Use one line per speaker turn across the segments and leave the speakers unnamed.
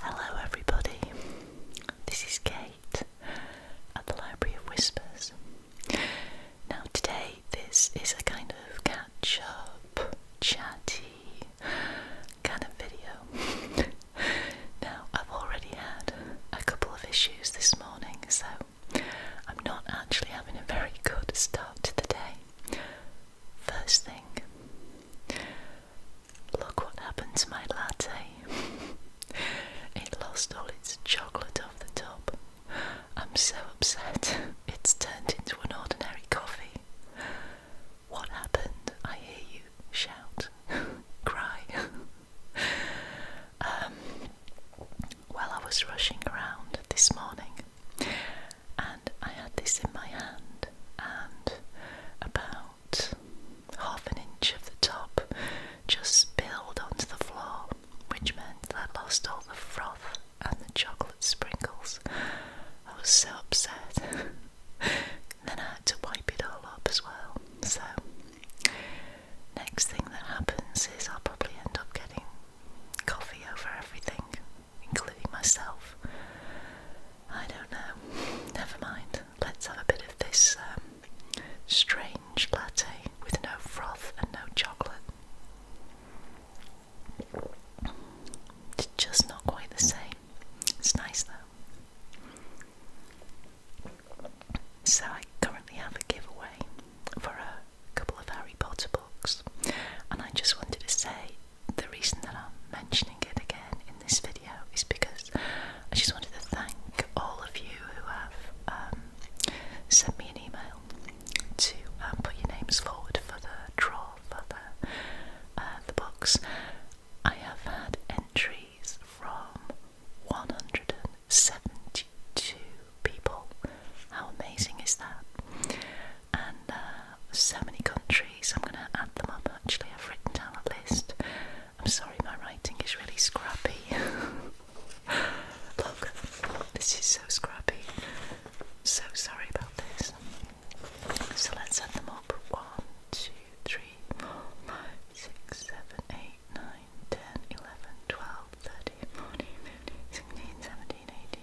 Hello, everybody. This is Kate at the Library of Whispers. Now, today, this is a kind of catch up, chatty kind of video. now, I've already had a couple of issues this morning, so I'm not actually having a very good start to the day. First thing, look what happened to my latte. it lost all its chocolate off the top. I'm so upset, it's turned into an ordinary coffee. What happened? I hear you shout, cry. um, well, I was rushing around this morning and I had this in my hand, and about half an inch of the top just spilled onto the floor, which meant that I lost all the froth and the chocolate sprinkles. I was so upset. then I had to wipe it all up as well. So, next thing that happens is I'll probably end up getting coffee over everything including myself. I don't know. Never mind. Let's have a bit of this um, strange latte with no froth and no chocolate. It's just not quite the same. It's nice though. So I currently have a giveaway for a couple of Harry Potter books, and I just wanted to say the reason that I'm mentioning it again in this video is because I just wanted to thank all of you who have um, sent me an email to um, put your names forward for the draw for the uh, the box. I have had entries from 172 people. How amazing is that? and uh, so many countries. I'm going to add them up actually. I've written down a list. I'm sorry, my writing is really scrappy. Look, this is so scrappy. So sorry about this. So let's add them up 1, 2, 3, 4, 5, 6, 7, 8, 9, 10, 11, 12, 13, 14, 15, 16, 17, 18.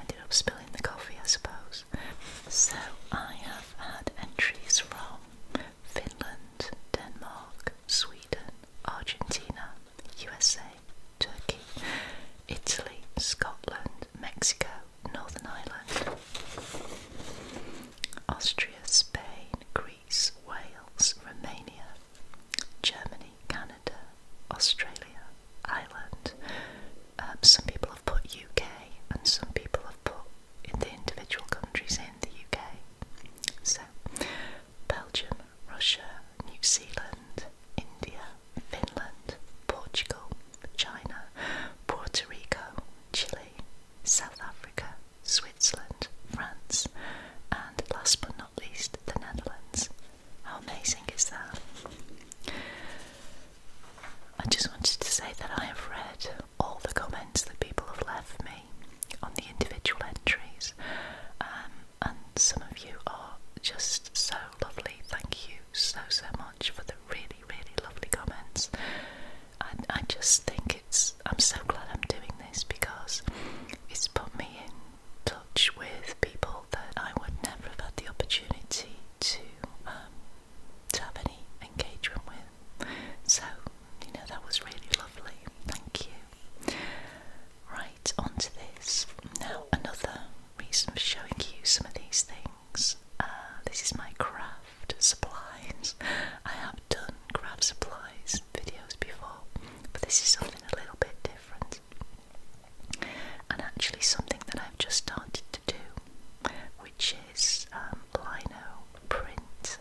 Ended up spilling the coffee, I suppose. So I have had entries from Finland, Denmark, Sweden, Argentina, USA, Turkey, Italy, Scotland, Mexico, Northern Ireland, Austria, Spain, Greece, Wales, Romania, Germany, Canada, Australia, island. Um, some people have put UK and some people have put in the individual countries in the UK. So, Belgium, Russia, New Zealand, India, Finland, Portugal, China, Puerto Rico, Chile, South Africa, Switzerland, France, and last but not least, the Netherlands. How amazing is that? I just wanted to say that I have read all the comments that people have left me on the individual entries, um, and some of you are just so lovely. Thank you so, so much for the really, really lovely comments. I just think it's, I'm so glad I'm doing this because it's put me in touch with people that I would never have had the opportunity to um, to have any engagement with. So, you know, that was really lovely. Thank you. Right, on to this. Now, another reason for showing you some of these things. Uh, this is my craft supplies. I have done craft supplies videos before, but this is something a little bit different and actually something that I've just started to do, which is um, lino print.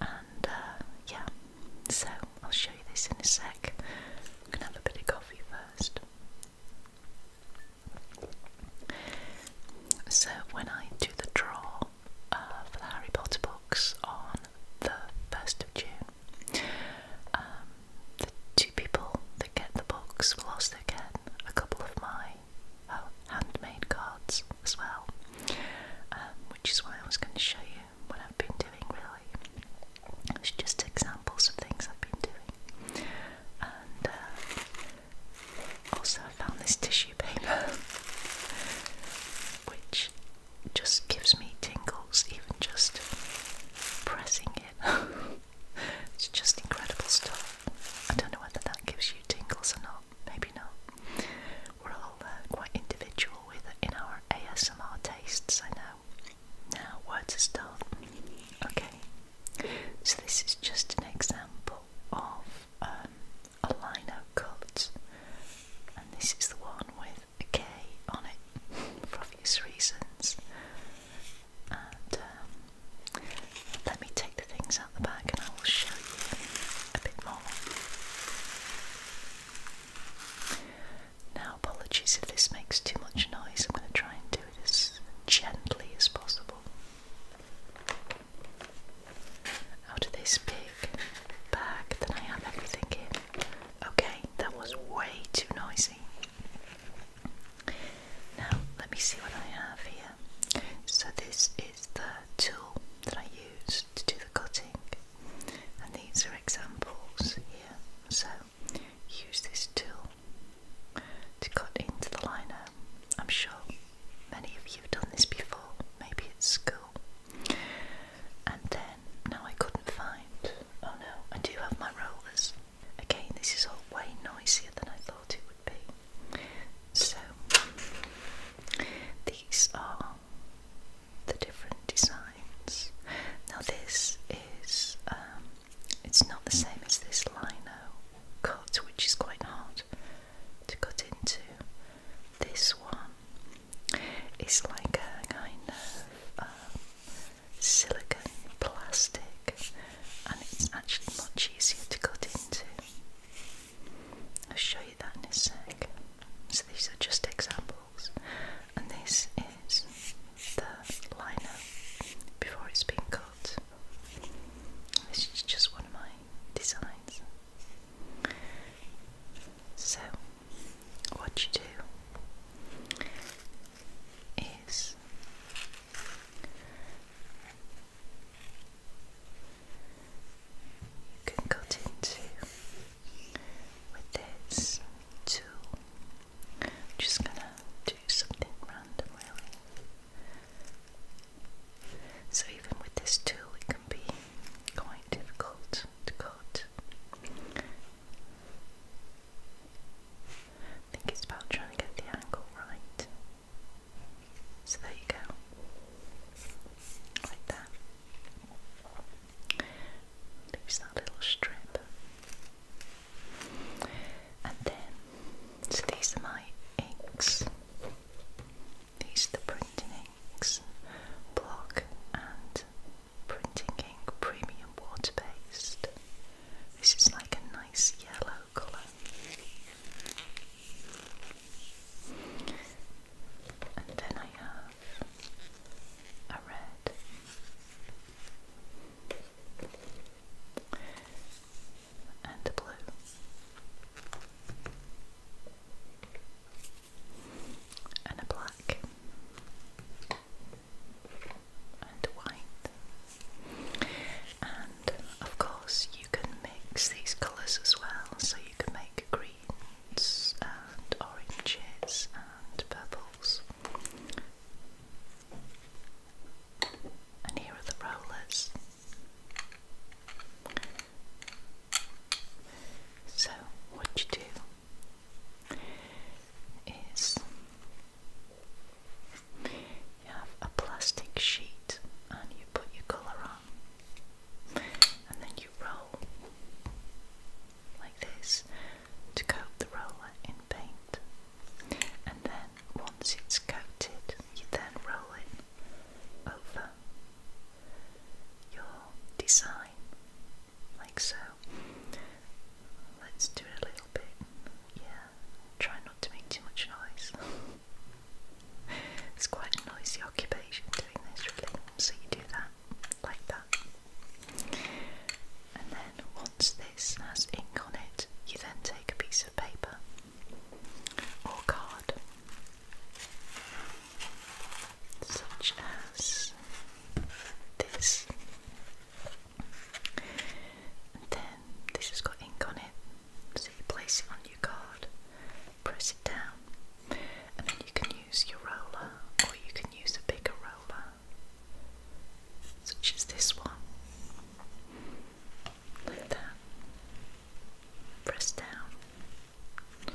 And uh, yeah, so I'll show you this in a sec. i have a bit of coffee first. So when I do the draw uh, for the Harry Potter books on the first of June. Um, the two people that get the books will also get a couple of my oh, handmade cards as well, um, which is why I was going to show you what I've been doing really. It's just examples of things I've been doing. And uh, also I found this tissue paper, which just gives me tingles even just pressing it. it's just incredible stuff. I don't know whether that gives you tingles or not, maybe not. We're all uh, quite individual with in our ASMR tastes, I know. Now, where to start? Okay, so this is just an example of um, a liner cut, and this is the one with a K on it for obvious reasons. Um, let me take the things out the bag and I will show you a bit more. Now, apologies if this makes too much noise, I'm going to try and do it as gently as possible. Out of this big bag that I have everything in. Okay, that was way too noisy. Now, let me see what I have here. So, this is the tool that I use to do the cutting, and these are examples here. So, use this tool to cut into the liner. I'm sure many of you have done this before, maybe at school. And then, now I couldn't find, oh no, I do have my rollers. Again, this is all way noisier than I thought it would be. So, these are the different designs. Now, this is, um, it's not the same as this lino cut, which is quite hard to cut into. This one is like a kind of um, silicone plastic, and it's actually much easier to cut into. I'll show you that in a sec. So these are just examples, and this is the liner before it's been cut. This is just one of my designs. So, what you do is you can cut into with this tool. I'm just gonna do something random, So even with this tool, it can be quite difficult to cut. I think it's about trying to get the angle right. So there you go. Like that. Leaves that little strip. And then, so these are my inks. These are the printing inks, block and printing ink premium water based. This is like a nice yellow colour. And then I have a red and a blue. And a black and white. And of course, you can mix these colours as well, so you can make greens and oranges and purples. And here are the rollers. So, what you do is you have a plastic sheet and you put your colour on and then you roll like this to coat the roller in paint. And then once it's coated, you then roll it over your design, like so. Let's do a little bit. Yeah, try not to make too much noise. it's quite a noisy occupation doing this, really, so you do that like that. And then once this has ink on it, you then take a piece of paper or card, such as this. And then this has got ink on it, so you place it on your card, press it down, and then you can use your roller or you can use a bigger roller, such as this one. Like that. Press down,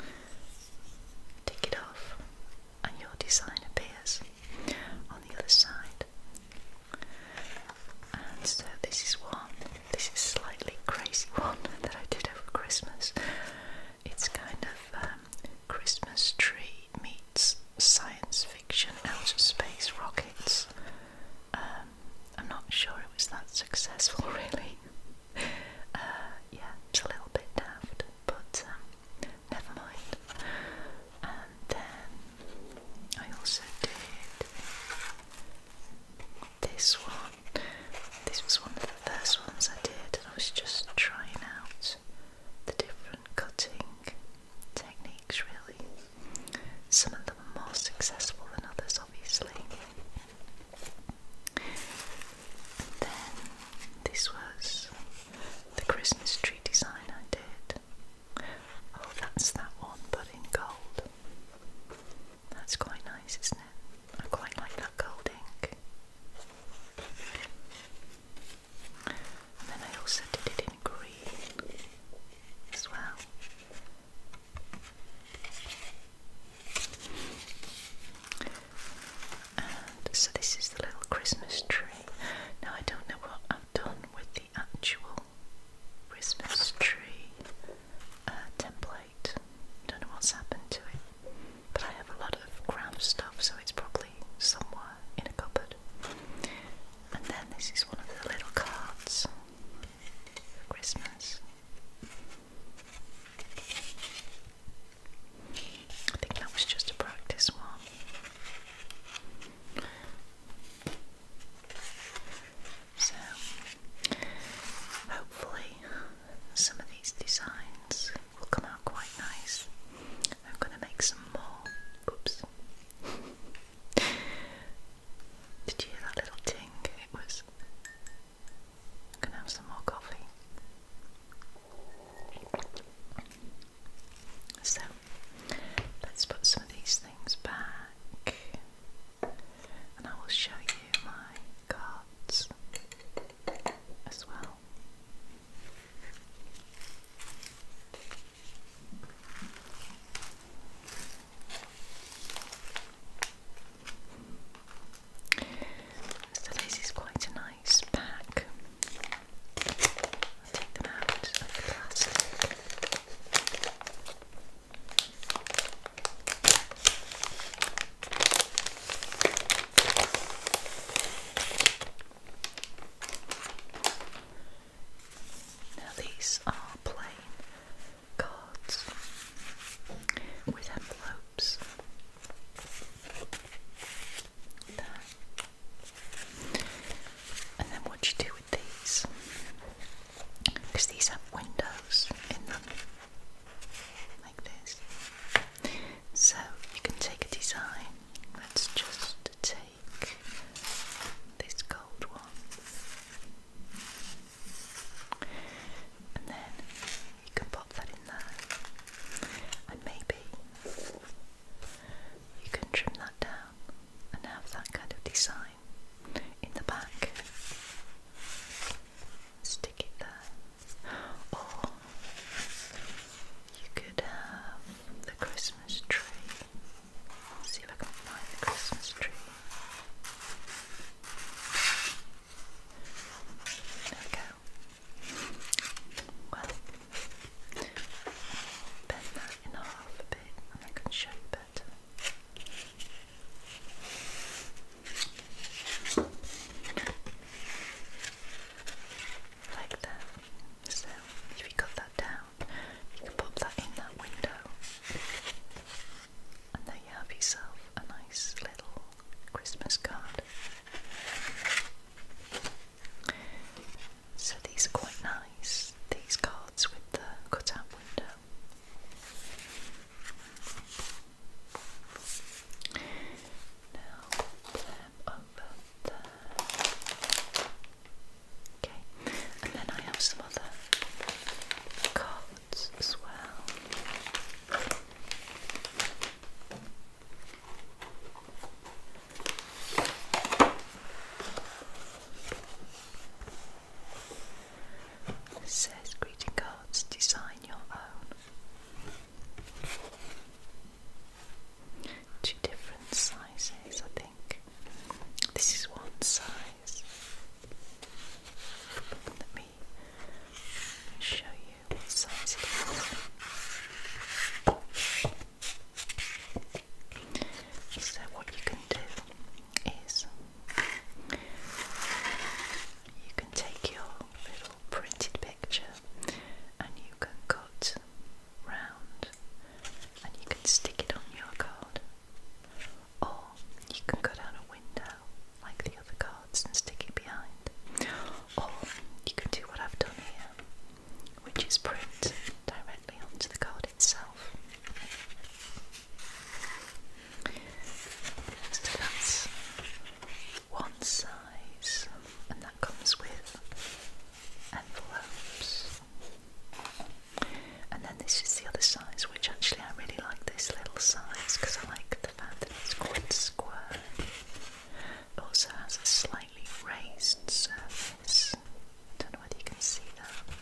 tick it off, and your design appears on the other side so this is one, this is slightly crazy one that I did over Christmas. It's kind of um, Christmas tree meets science fiction, outer space rockets. Um, I'm not sure it was that successful, really. Uh, yeah, it's a little bit daft, but um, never mind. And then I also did this one. This was one of the first ones I did, and I was just trying out the different cutting techniques, really. Some of them are more successful than others, obviously. And then this was the Christmas tree design I did. Oh, that's that one, but in gold. That's quite nice, isn't it? I quite like that gold ink. And then I also did it in green as well. And so this is the little Christmas tree. Now I don't know what I've done with the actual Christmas tree uh, template. Don't know what's happened to it, but I have a lot of craft stuff, so it's probably somewhere in a cupboard. And then this is one of the little cards for Christmas. I think that was just a practice one. So, hopefully, some of these designs will come out quite nice. I'm going to make some more. Oops. Did you hear that little ting? It was. going to have some more coffee. So let's put some of these things back and I will show you my cards as well. So this is quite a nice pack. take them out now, these are plain cards with envelopes. There. And then, what you do because these have windows in them, like this. So you can take a design. Let's just take this gold one, and then you can pop that in there, and maybe you can trim that down and have that kind of design in the back. Stick it there. Or you could have the Christmas tree. see if I can find the Christmas tree. There we go. Well, bend that in half a bit and I can show you like that. So, if you got that down, you can pop that in that window. And there you have yourself a nice little Christmas card. So these are quite nice, these cards with the cutout window. Now put over Okay, and then I have some other cards as well. It says greeting cards, design your own. Two different sizes, I think. This is one size. Let me show you what size So, what you can do is you can take your little printed picture and you can cut round and you can stick it on your card, or you can go down a window like the other cards and stick it behind, or you can do what I've done here, which is print directly onto the card itself. So that's one size, and that comes with envelopes. And then this is the other size, which actually I really like this little size because I like the fact that it's quite square. also has a slightly raised surface. Don't know whether you can see that.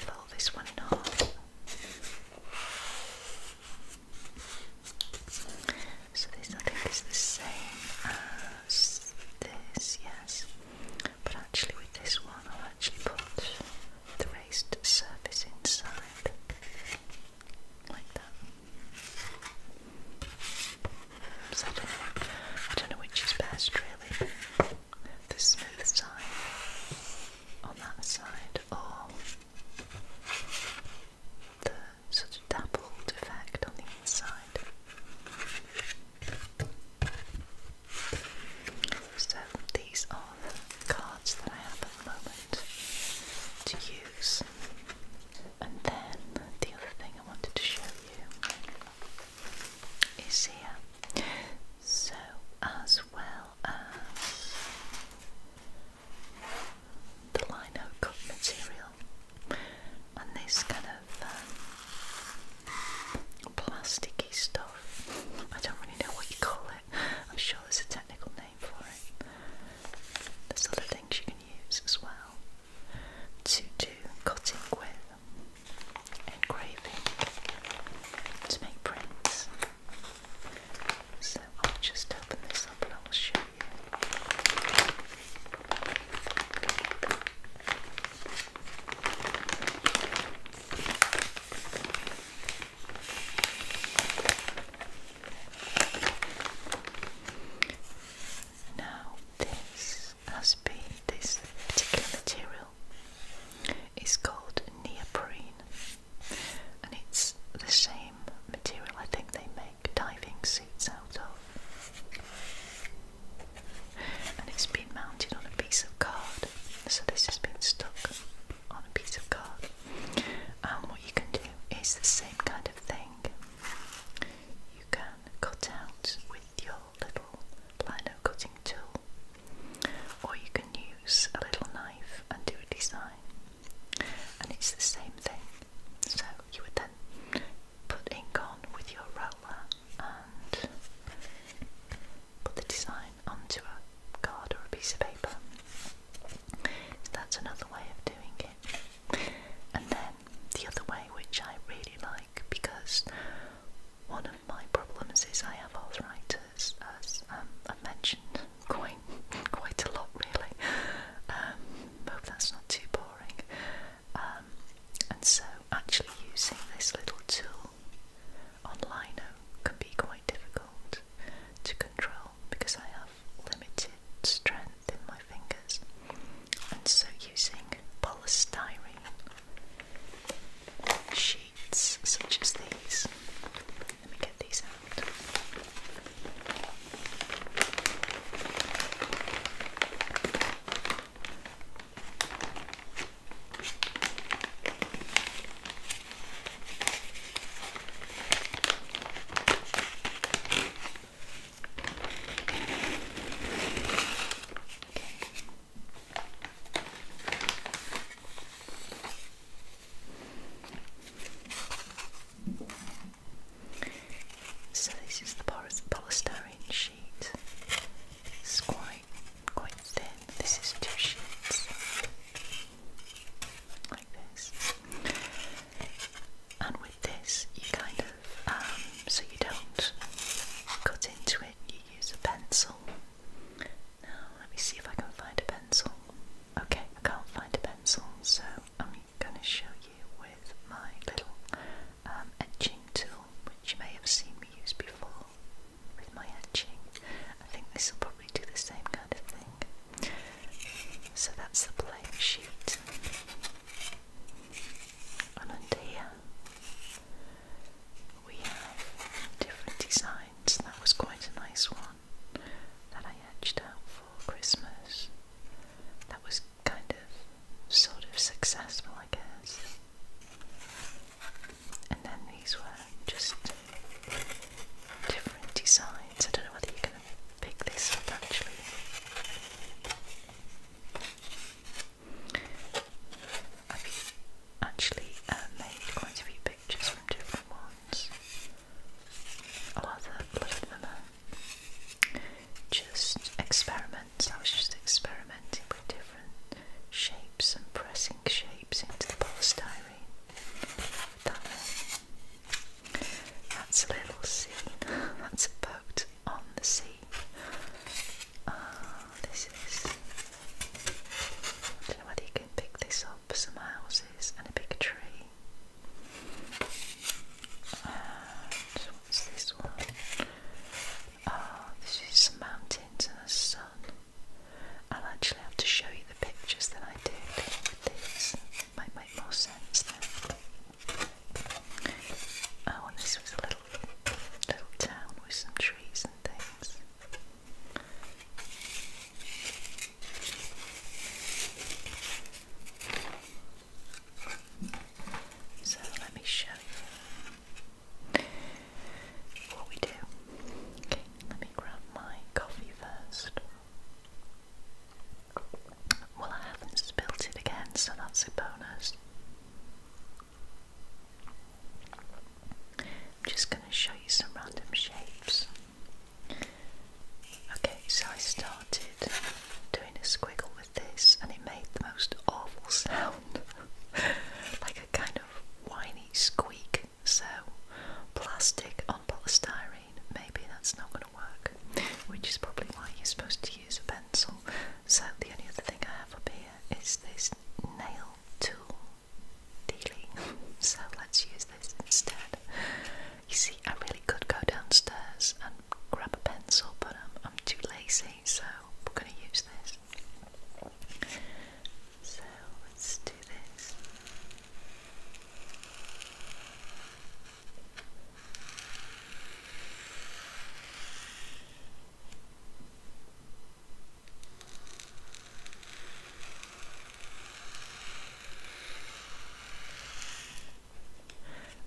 Fold this one in half. So this I think is the same as this, yes. But actually with this one I'll actually put the raised surface inside. Like that. I, don't know, I don't know which is best really. The smooth side on that side or the sort of dappled effect on the inside. So these are the cards that I have at the moment to use. And then the other thing I wanted to show you is here. So, as well as the lino cut material and this kind of um, plasticky stuff. I don't really know what you call it. I'm sure there's a technical name for it. There's other things you can use as well to do cutting with, engraving to make prints. So I'll just open this up and I'll show you. Now, this as be this particular material is called neoprene and it's the same material I think they make diving suits out of and it's been mounted on a piece of card so this has been stuck on a piece of card and what you can do is the same kind of thing you can cut out with your little lino cutting tool, or you can use a little knife and do a design, and it's the same thing. So you would then put ink on with your roller and put the design onto a card or a piece of paper. that's another way of doing it. And then the other way, which I really like because one of my problems is I have arthritis, as um, I've mentioned quite quite a lot, really. hope um, that's not too boring. Um, and so, actually, using this little tool on lino can be quite difficult to control because I have limited strength in my fingers, and so using polystyrene sheets such as these. Let me get these out. So this is the polystyrene sheet. It's quite thin. This is two sheets like this. And with this, you kind um, so you don't cut into it, you use a pencil. Now, let me see if I can find a pencil. Okay, I can't find a pencil, so I'm going to show you with my little um, etching tool, which you may have seen me use before with my etching. I think this will probably do the same kind of thing. So that's the blank sheet. under here, we have different designs. That was quite a nice one that I etched out for Christmas. That was kind of sort of successful, I guess. And then these were just different designs. I don't know whether you're going to pick this up actually. I've actually uh, made quite a few pictures from different ones. A lot of, them are uh, just experiments. I was just experimenting with different shapes and pressing shapes into the polystyrene. Uh, that's a little scene. That's a boat on the sea. Oh, this is. don't know whether you can pick this up some houses and a big tree. And what's this one? Oh, this is some mountains and a sun. I'll actually have to show you the pictures that I did with Might make more sense then. Oh, this was a little little town with some trees and things. So let me show you what we do. Okay, let me grab my coffee first. Well, I haven't spilt it again, so that's a bonus. I'm just going to show you some random shapes. Okay, so I started doing a squiggle with this and it made the most awful sound like a kind of whiny squeak. So, plastic on polystyrene, maybe that's not going to work, which is probably why you're supposed to use a pencil. So, the only other thing I have up be here is this nail tool dealing, so let's use this instead. You see, I really could go downstairs and grab a pencil, but I'm, um, I'm too lazy, so we're going to use this. So let's do this.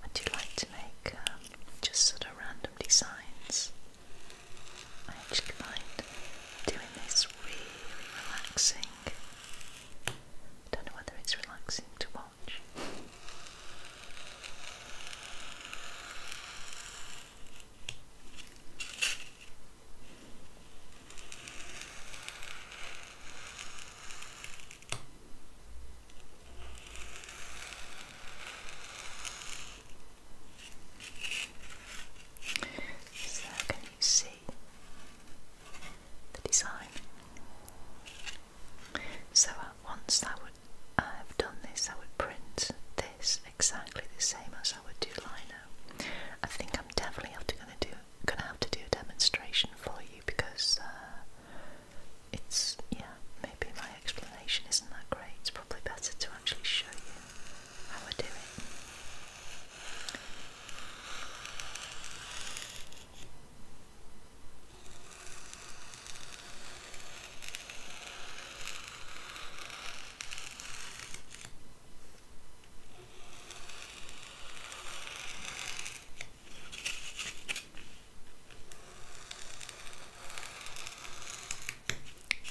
I do like to make um, just sort of random designs. I actually find doing this really relaxing. don't know whether it's relaxing to watch. So, can you see the design? So, at once that would. I have done this, I would print this exactly the same as I would do lino. I think I'm definitely gonna do gonna have to do a demonstration for you because uh, it's yeah maybe my explanation isn't that great. It's probably better to actually show you how I do it.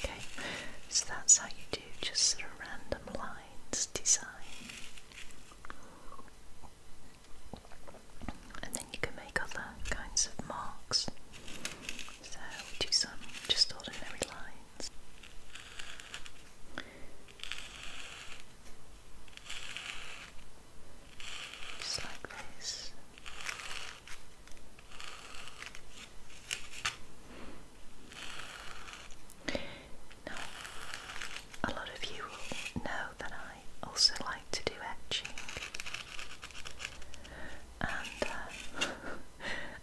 Okay, so that's how you do just sort of random lines design and then you can make other kinds of marks. So do some just ordinary lines. Just like this. Now, a lot of you will know that I also like to do etching. Uh, I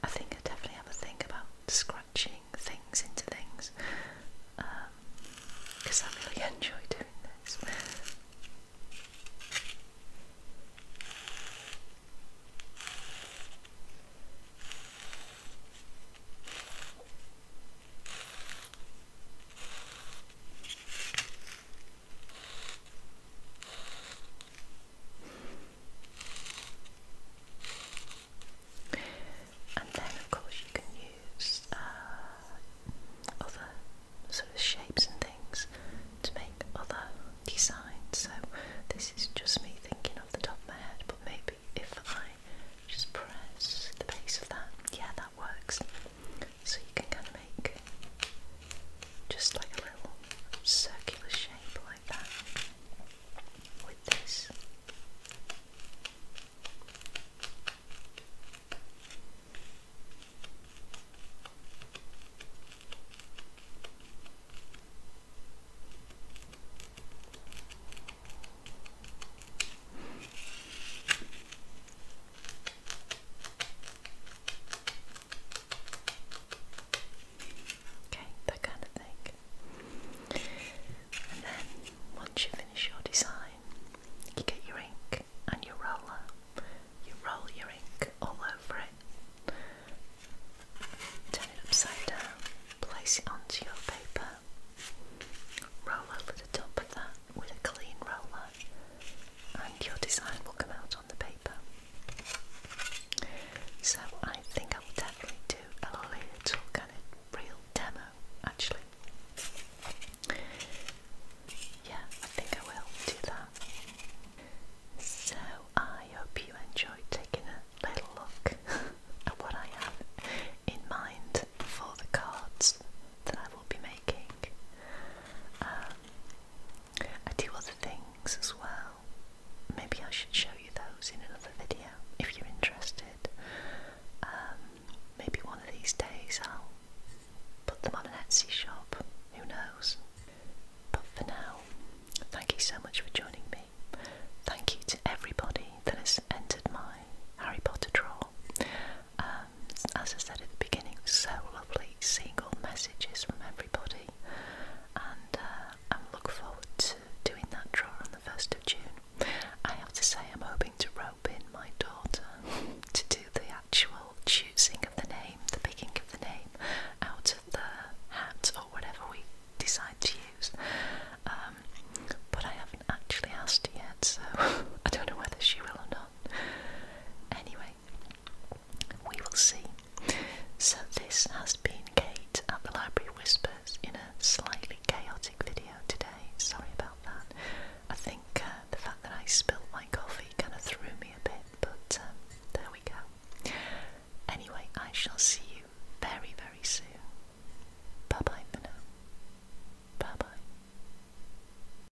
think I definitely have a thing about scratching things into things because um, I really enjoy doing this. And then, of course, you can use uh, other sort of shapes and things to make other designs. So, this is just me thinking off the top of my head, but maybe if I just press the base of that, yeah, that works. So you can kind of make just like a little circular shape like that with this. Okay, that kind of thing. And then once you finish your design, you get your ink and your roller. You roll your ink all over it, turn it upside down, place it onto your paper, roll over the top of that with a clean roller, and your design will come out on the paper. So I think I will definitely do a little kind of real demo actually. Yeah, I think I will do that. So I hope you enjoyed taking a little look at what I have in mind for the cards that I will be making. Um, I do other things as well. Maybe I should show you those in another video if you're interested. Um, maybe one of these days I'll put them on an Etsy shop. Who knows? But for now, thank you so much for joining me. Thank you to everybody that has entered my Harry Potter draw. Um, as I said at the beginning, it so lovely single messages from everybody, and uh, I look forward to doing that draw on the 1st of June. I have to say, I'm hoping to rope in my daughter to do the actual choosing of the name, the picking of the name out of the hat or whatever we decide to use. Um, but I haven't actually asked her yet, so I don't know whether she will or not. Anyway, we will see. So, this has been Kate at the Library Whispers in a slightly chaotic video today. Sorry about that. I think uh, the fact that I spilled my coffee kind of threw me a bit, but um, there we go. Anyway, I shall see you very, very soon. Bye bye for now. Bye bye.